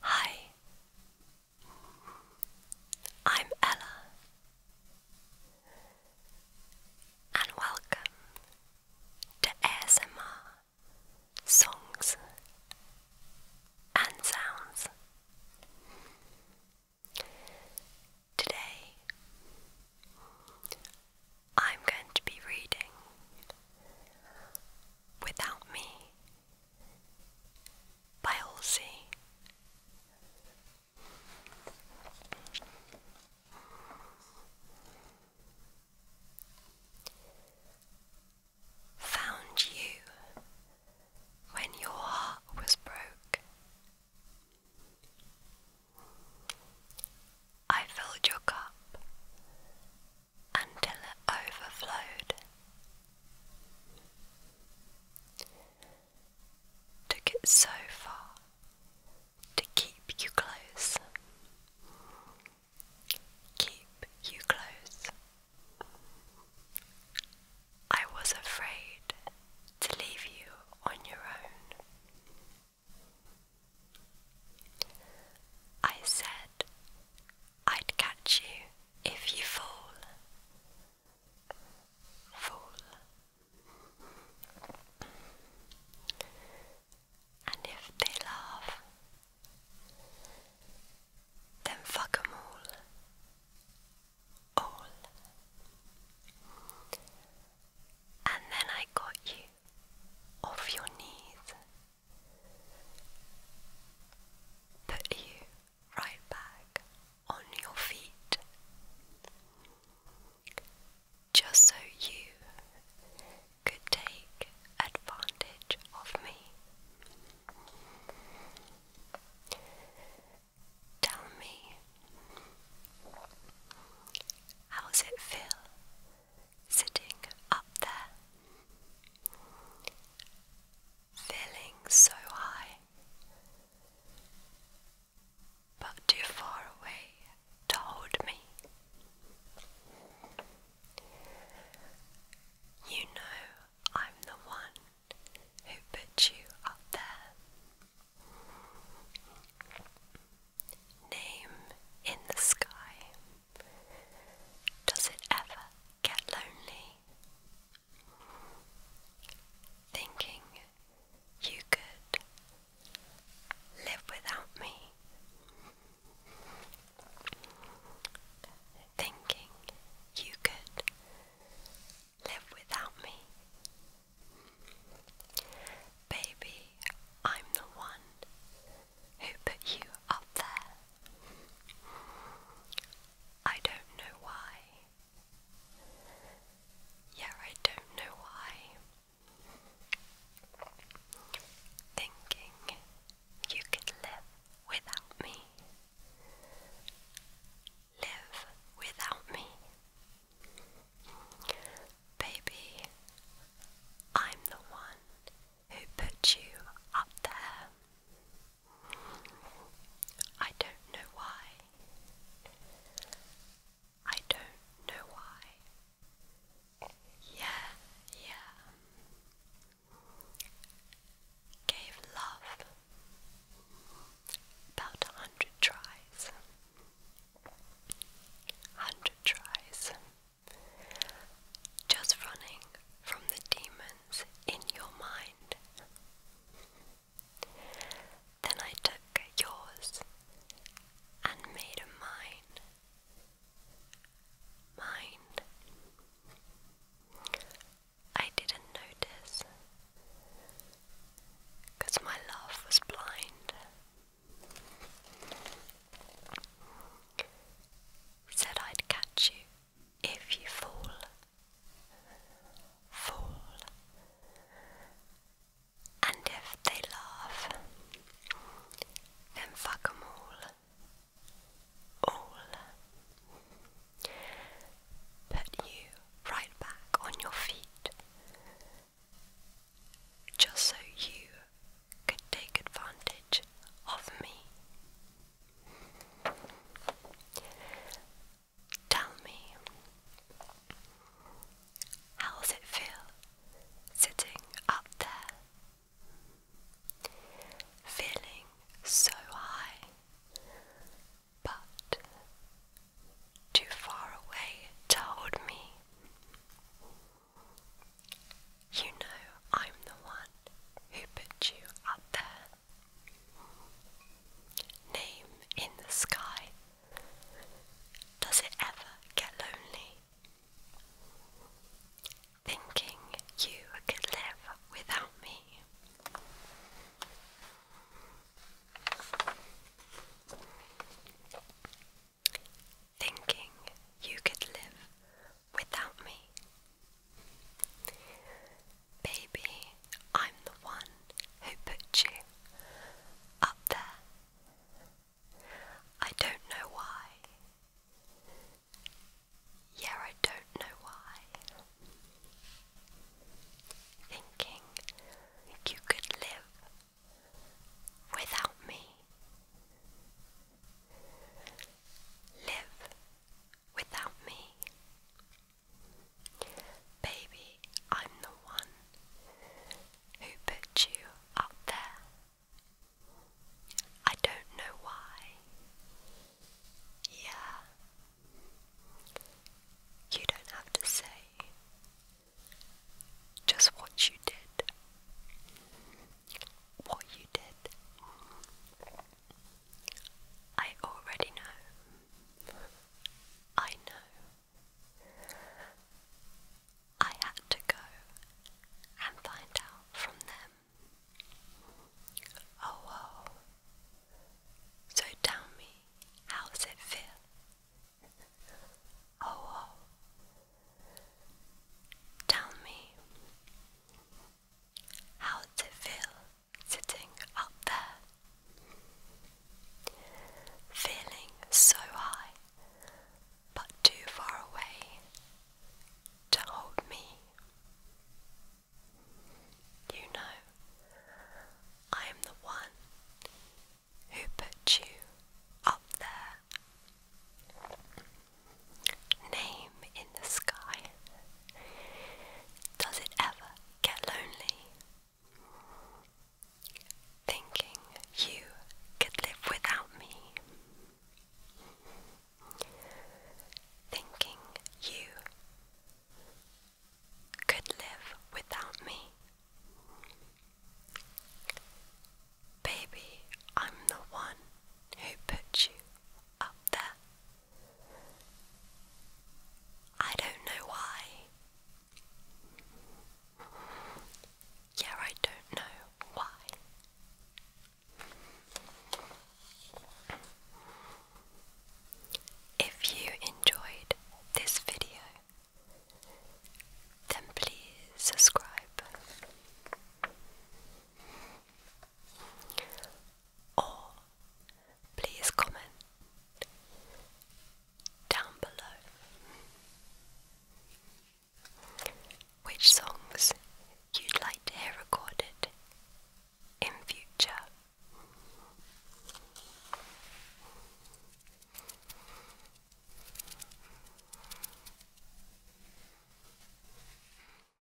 Hi, I'm Ella, and welcome to ASMR Songs and Sounds. Today, I'm going to be reading Without Me by Halsey. Found you when your heart was broke. I filled your cup until it overflowed. Took it so far to keep you close. Keep you close. I was afraid to leave you on your own. I said I'd catch you if you fall. Fall. And if they laugh, then fuck 'em all. All. And then I got you off your knees put you right back on your feet just so you could take advantage of me. Tell me, how does it feel sitting up there, feeling so high, but too far away to hold me. You know I'm the one who put you up there. Name in the sky. Does it ever get lonely? Thinking you could live without me. Thinking you could live without me. Baby, I'm the one who put you up there. I don't know why. Yeah, I don't know why. Thinking you could live without me. Live without me. Baby, I'm the one who put you up there. I don't know why. I don't know why. Yeah, yeah. Gave love about a hundred tries. Hundred tries. Just running from the demons in your mind. Then I took yours and made mine. Mine. I didn't notice my love was blind. Said I'd catch you if you fall, fall, and if they laugh, then fuck 'em all, all. Put you right back on your feet, just so you could take advantage of me. Tell me, how does it feel sitting up there? Feeling so high, but too far away to me. You know I'm the one who put you up there. Name in the sky. Does it ever get lonely? Thinking you could live without me. Thinking you could live without me. Baby, I'm the one who put you up there. I don't know why. Yeah, I don't know why. Thinking you could live without me. Live without me. Baby, I'm the one who put you up there. I don't know why. Yeah. You don't have to say just what you did what you did. I already know. I know. I had to go and find out from them. Oh, So tell me, how's it feel? Oh, Tell me, how does it feel sitting up there? Feeling so high, but too far away to hold me. You know, I am the one who put you up there name in the sky. Does it ever get lonely? Thinking you could live without me. Thinking you could live without me. Baby, I'm the one who put you up there. I don't know why. Yeah, I don't know why. If you enjoyed this video, then please subscribe or please comment down below which songs you'd like to hear recorded in future.